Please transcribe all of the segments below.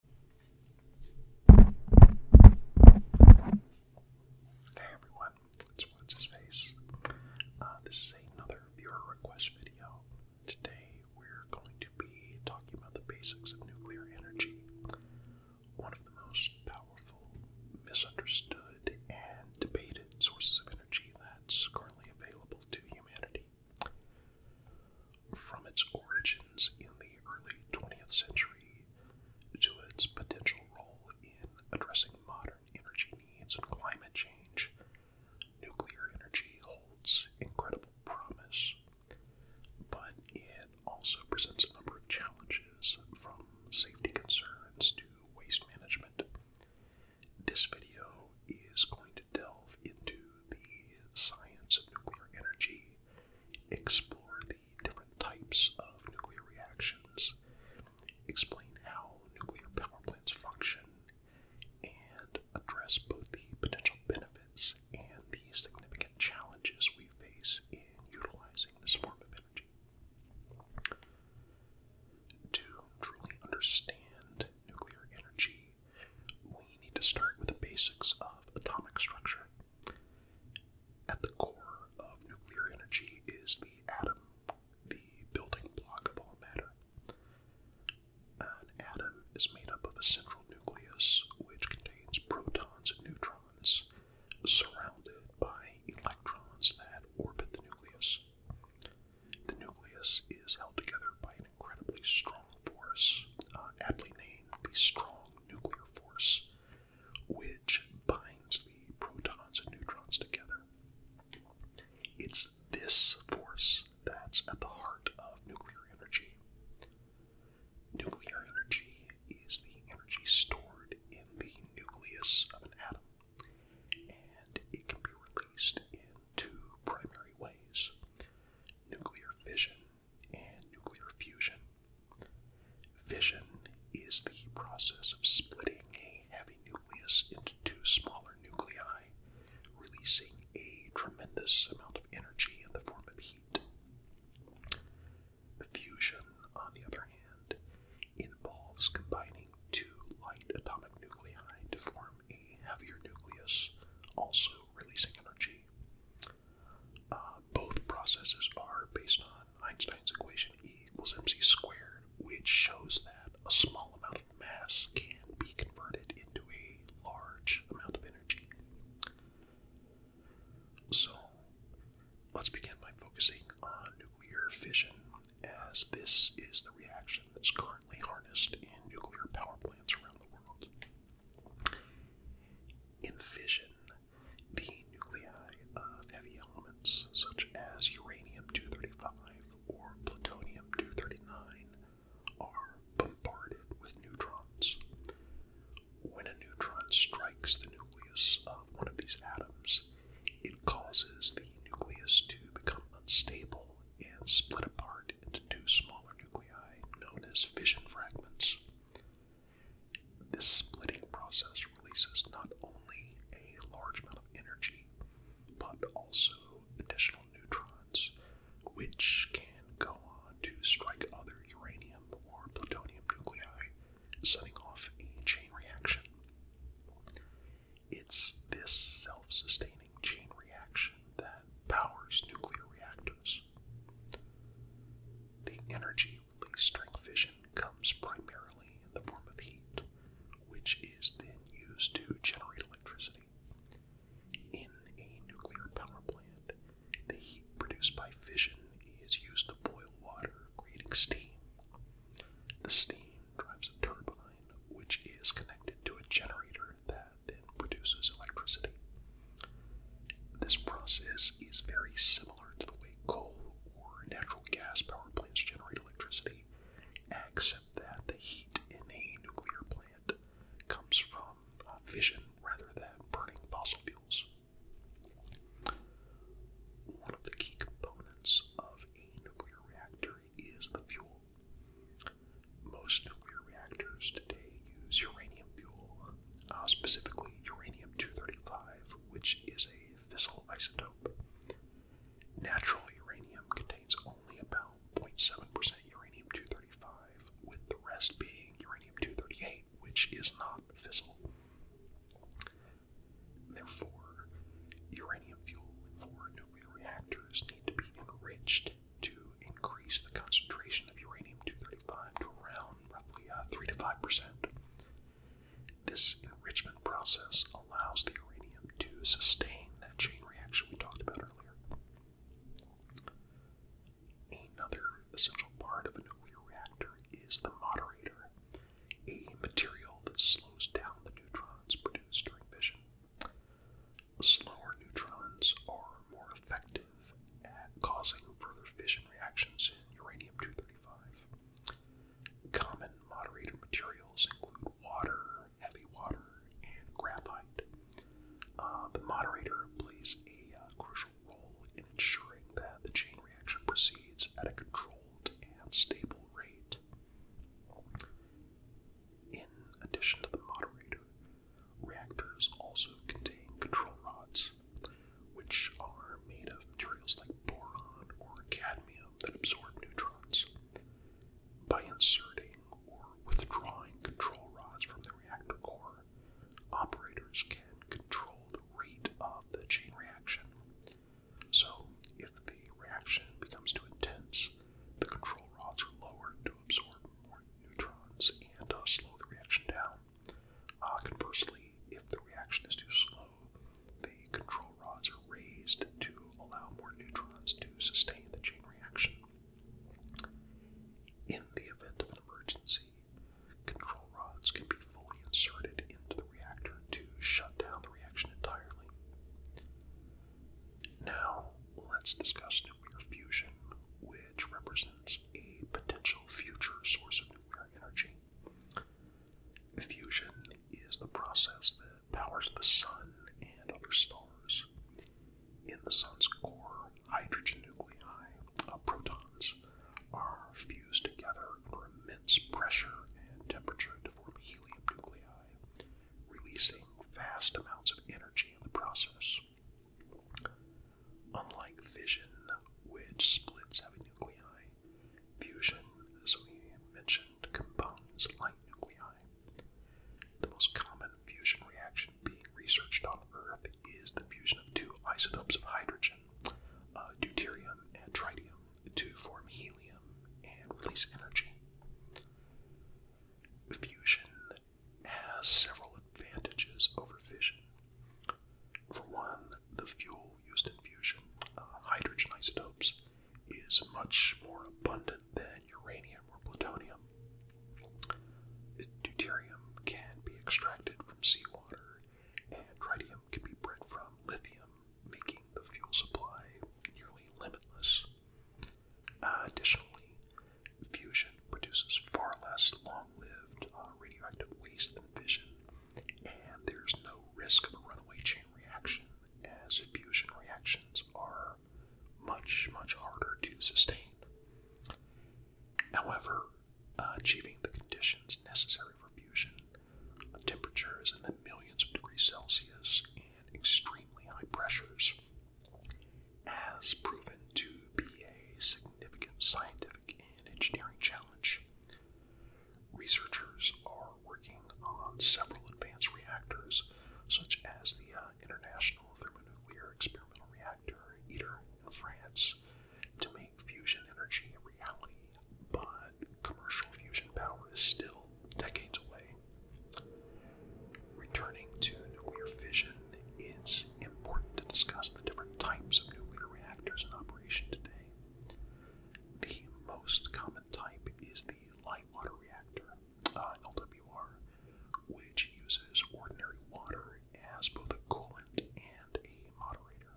Hey everyone, it's What's Face. Uh, this is another viewer request video. Today we're going to be talking about the basics of nuclear energy, one of the most powerful, misunderstood, and debated sources of energy that's currently available to humanity. From its origins in the early 20th century to its potential role in addressing modern energy needs and climate change, nuclear energy holds incredible promise, but it also presents a number of challenges from safety concerns to waste management. This video is going to delve into the science of nuclear energy, explore the different types of nuclear reactions, explain how nuclear power plants function, and address both the potential benefits and the significant challenges we face in utilizing this form of energy. To truly understand nuclear energy, we need to start with the basics of atomic structure. At the core of nuclear energy is the atom, the building block of all matter. An atom is made up of a central nucleus which contains protons and neutrons surrounded by electrons that orbit the nucleus. The nucleus is held together by an incredibly strong force, uh, aptly named the strong nuclear force, which binds the protons and neutrons together. It's this force that's at the heart of nuclear energy. Nuclear energy is the energy stored in the nucleus of an atom, and it can be released in two primary ways nuclear fission, and nuclear fusion. Fission is the process of splitting a heavy nucleus into two smaller nuclei, releasing a tremendous amount of energy in the form of heat. fusion, on the other hand, involves combining two light atomic nuclei to form a heavier nucleus, also releasing energy. Uh, both processes are based on Einstein's equation E equals mc squared, which shows that a small amount of mass can be converted into a large amount of energy. So, let's begin by focusing on nuclear fission, as this is the reaction that's currently harnessed in nuclear power plants around the world. In fission, the nuclei of heavy elements such as uranium 235 or plutonium 239 are bombarded with neutrons. When a neutron strikes the nucleus of one of these atoms, it causes the nucleus to become unstable and split apart into two smaller nuclei known as fission fragments. This splitting process releases not only a large amount of energy, but also additional neutrons, which can go on to strike other uranium or plutonium nuclei, setting off a chain reaction. It's this self sustaining chain reaction that powers nuclear reactors. The energy released during fission comes primarily in the form of heat, which is then used to generate electricity. In a nuclear power plant, the heat produced by fission is used to boil water, creating steam. The steam drives a turbine, which is connected to a generator that then produces electricity. This process is very similar to the way coal or natural gas power plants generate electricity, except that the heat in a nuclear plant comes from uh, fission rather than burning fossil fuels. One of the key components of a nuclear reactor is the fuel. Most nuclear reactors today use uranium fuel, uh, specifically uranium 235, which is a fissile isotope. Natural uranium contains only about 0.7% uranium 235, with the rest being uranium 238, which is not fissile. Therefore, uranium fuel for nuclear reactors need to be enriched to increase the concentration of uranium-235 to around roughly uh, 3 to 5 percent. This enrichment process allows the uranium to sustain that chain reaction we talked about earlier. Another essential part of a nuclear reactor is the moderator, a material that slows down the neutrons produced during fission slower neutrons are more effective at causing further fission reactions in uranium 235. Common moderator materials include water, heavy water, and graphite. Uh, the moderator plays a uh, crucial role in ensuring that the chain reaction proceeds at a controlled and stable rate. In addition to the moderator, reactors also contain control rods, which are made of materials like boron or cadmium that absorb neutrons. By inserting or withdrawing control rods from the reactor core, operators can control the rate of the chain reaction. So, if the reaction becomes too intense, the control rods are lowered to absorb more neutrons and uh, slow the reaction down. Uh, conversely, if the reaction is too slow, the control rods are raised to allow more neutrons to sustain the chain reaction. In the event of an emergency, control rods can be fully inserted into the reactor to shut down the reaction entirely. Now, let's discuss nuclear fusion, which represents a potential future source of nuclear energy. Fusion is the process that powers the sun and other stars. In the sun's core, hydrogen nuclei, uh, protons, are fused together under immense pressure and temperature to form helium nuclei, releasing vast amounts of energy in the process. Unlike fission, which splits heavy nuclei, fusion, as we mentioned, combines light nuclei. The most common fusion reaction being researched on Earth is the fusion of two isotopes of hydrogen, uh, deuterium and tritium, to form helium and release energy. Fusion has several advantages over fission. For one, the fuel used in fusion, uh, hydrogen isotopes, is much more abundant than uranium or plutonium. Deuterium can be extracted from seawater, and tritium can be bred from lithium, making the fuel supply nearly limitless. Uh, additionally, fusion produces far less long-lived uh, radioactive waste than fission, and there's no risk of a runaway chain reaction, as fusion reactions are much, much harder to sustain. However, uh, achieving the conditions necessary for for fusion. Temperatures in the millions of degrees Celsius and extremely high pressures has proven to be a significant scientific and engineering challenge. Researchers are working on several advanced reactors, such as the uh, International Thermonuclear Experimental Reactor, ITER, in France, to make fusion energy a reality by commercial fusion power is still decades away. Returning to nuclear fission, it's important to discuss the different types of nuclear reactors in operation today. The most common type is the light water reactor, uh, LWR, which uses ordinary water as both a coolant and a moderator.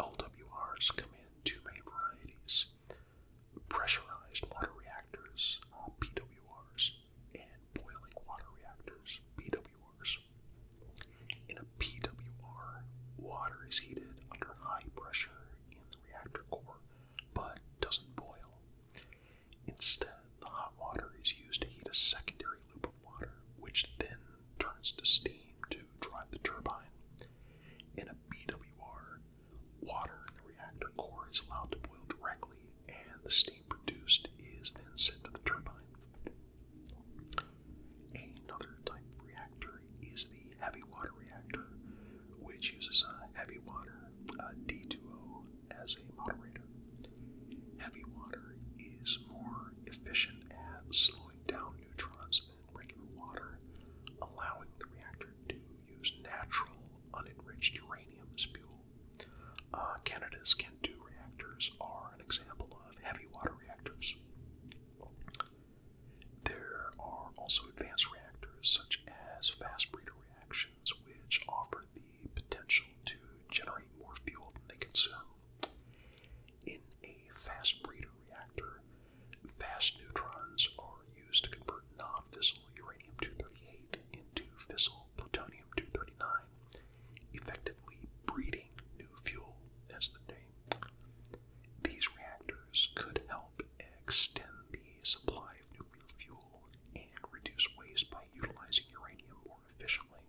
LWRs come in two main varieties pressurized water reactors, uh, PWRs, and boiling water reactors, BWRs. In a PWR, water is heated under high pressure in the reactor core but doesn't boil. Instead, the hot water is used to heat a secondary loop of water, which then turns to steam to drive the turbine. In a BWR, water in the reactor core is allowed to boil directly, and the steam produced is then sent to the turbine. Another type of reactor is the heavy water reactor, which uses a heavy water, D D2O, as a moderator. Heavy water is more efficient at slowing down neutrons regular water, allowing the reactor to use natural, unenriched uranium fuel. Uh, Canada's CAN2 reactors are an example of heavy water reactors. There are also advanced reactors such as fast breeder reactions, which offer the potential to generate more fuel than they consume. In a fast breeder reactor, fast neutrons are used to convert non fissile uranium 238 into fissile plutonium 239, effectively breeding new fuel. That's the name. These reactors could help extend the supply of nuclear fuel and reduce waste by utilizing uranium more efficiently.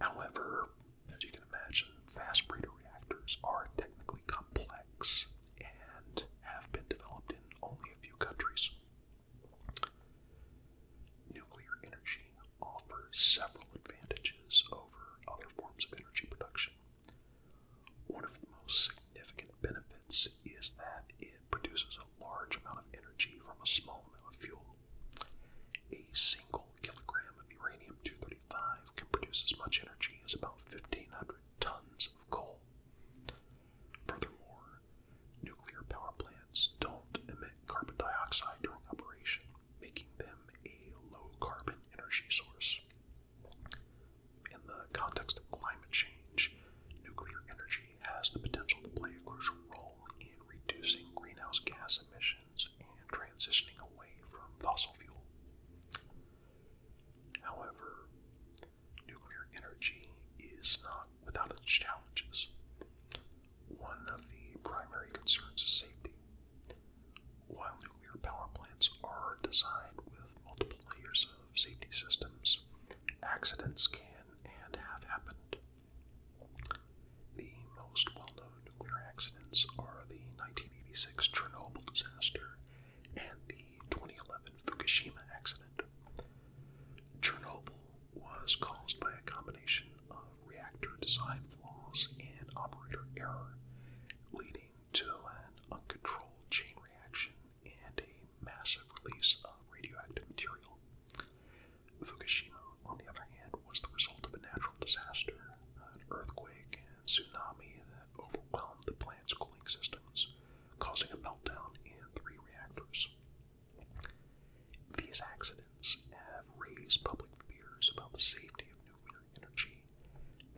However, as you can imagine, fast breeder reactors are technically complex and have been developed in only a few countries. Nuclear energy offers several advantages over other forms of energy production. One of the most significant benefits is that it produces a large amount of energy from a small amount of fuel. A single kilogram of uranium 235 can produce as much energy as about 1,500 tons of coal. Furthermore, nuclear power plants don't emit carbon dioxide during operation, making them a low carbon energy source. In the context of climate change, nuclear energy has the potential to play a crucial role in reducing greenhouse gas emissions and transitioning away from fossil fuel. However, nuclear energy is not without its challenges. One of the primary concerns is safety. While nuclear power plants are designed with multiple layers of safety systems, accidents can and have happened. The most well known nuclear accidents are the 1986 Chernobyl disaster and the 2011 Fukushima accident. Chernobyl was caused by a combination of reactor design flaws and operator error, leading to an uncontrolled chain reaction and a massive release of radioactive material. Fukushima, on the other hand, was the result of a natural disaster, an earthquake and tsunami that overwhelmed the plant's cooling systems, causing a meltdown in three reactors. These accidents have raised public fears about the safety of nuclear energy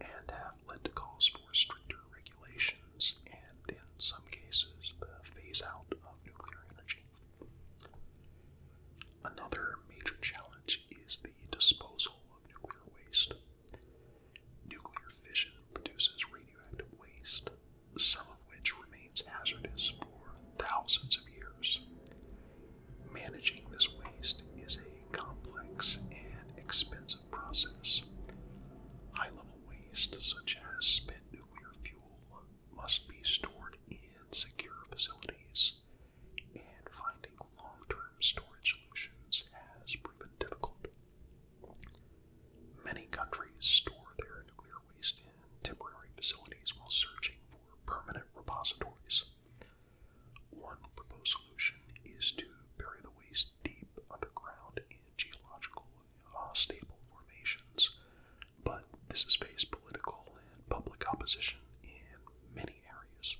and have led to calls for stricter regulations and, in some cases, the phase out of nuclear energy. Another major challenge is the disposal of nuclear waste. Nuclear fission produces radioactive waste, some of which remains hazardous for thousands of years. Managing this waste is a complex and expensive process. High level waste, such as spent nuclear fuel, must be stored in secure facilities, and finding long term storage solutions has proven difficult. Many countries store their nuclear waste in temporary facilities while searching for permanent repositories. One proposed solution is to bury the waste deep underground in geological uh, stable formations but this has faced political and public opposition in many areas.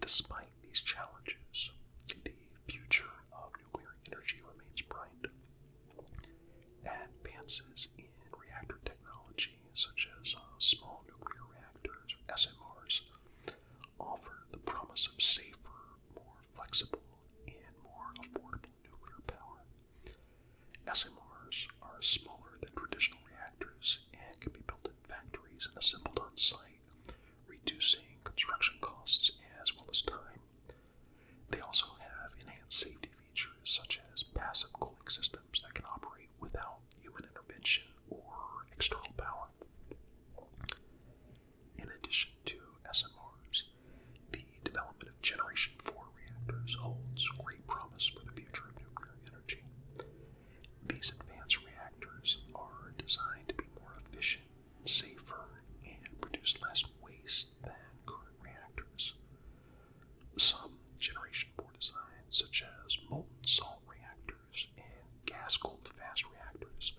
Despite these challenges, the future of nuclear energy remains bright. Advances in reactor technology, such as uh, small nuclear reactors, or SMRs, offer the promise of safer, more flexible, and more affordable nuclear power. SMRs are smaller than traditional reactors and can be built in factories and assembled on site, reducing construction costs as well as time. They also have enhanced safety features such as passive cooling systems that can operate without human intervention or external power. In addition to SMRs, the development of Generation 4 reactors holds great promise for the future of nuclear energy. These advanced reactors are designed to be more efficient, safer, and produce less waste than current reactors. Some Generation 4 designs, such as molten salt reactors and gas cooled fast reactors,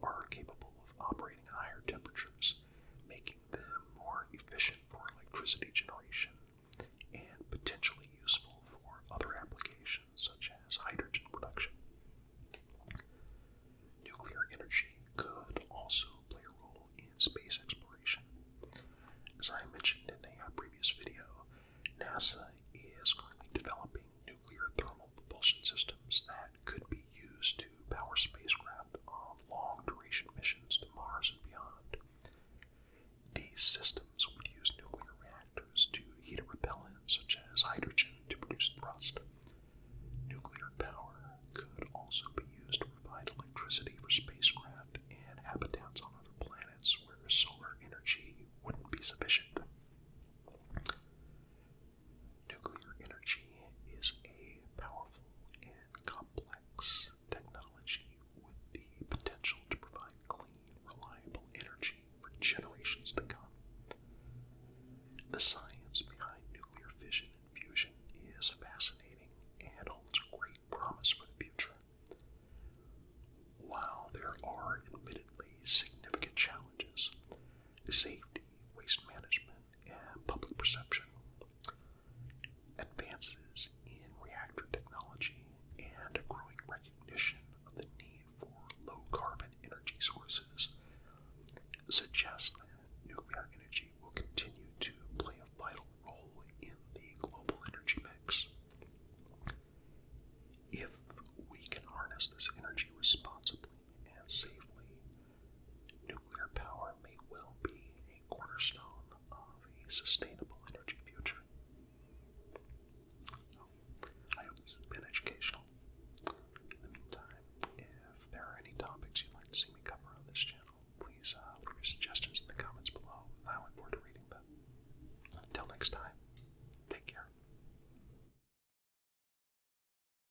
are capable of operating at higher temperatures making them more efficient for electricity generation and potentially useful for other applications such as hydrogen production. Nuclear energy could also play a role in space exploration. As I mentioned in a previous video, NASA is currently developing nuclear thermal propulsion systems that could be used power spacecraft on long duration missions to Mars and beyond. These systems would use nuclear reactors to heat a repellent, such as hydrogen, to produce thrust. Nuclear power could also be used to provide electricity for spacecraft and habitats on other planets where solar energy wouldn't be sufficient. Nuclear energy is a powerful and complex technology with the potential to provide clean, reliable energy for generations to come. The science behind nuclear fission and fusion is fascinating and holds great promise for the future. While there are admittedly significant challenges, safety, waste management, public perception, advances in reactor technology, and growing recognition of the need for low carbon energy sources suggest that nuclear energy will continue to play a vital role in the global energy mix. If we can harness this energy responsibly, and safely. Nuclear power may well be a cornerstone of a sustainable energy future. I hope this has been educational. In the meantime, if there are any topics you'd like to see me cover on this channel, please uh, leave your suggestions in the comments below, I look forward to reading them. Until next time, take care.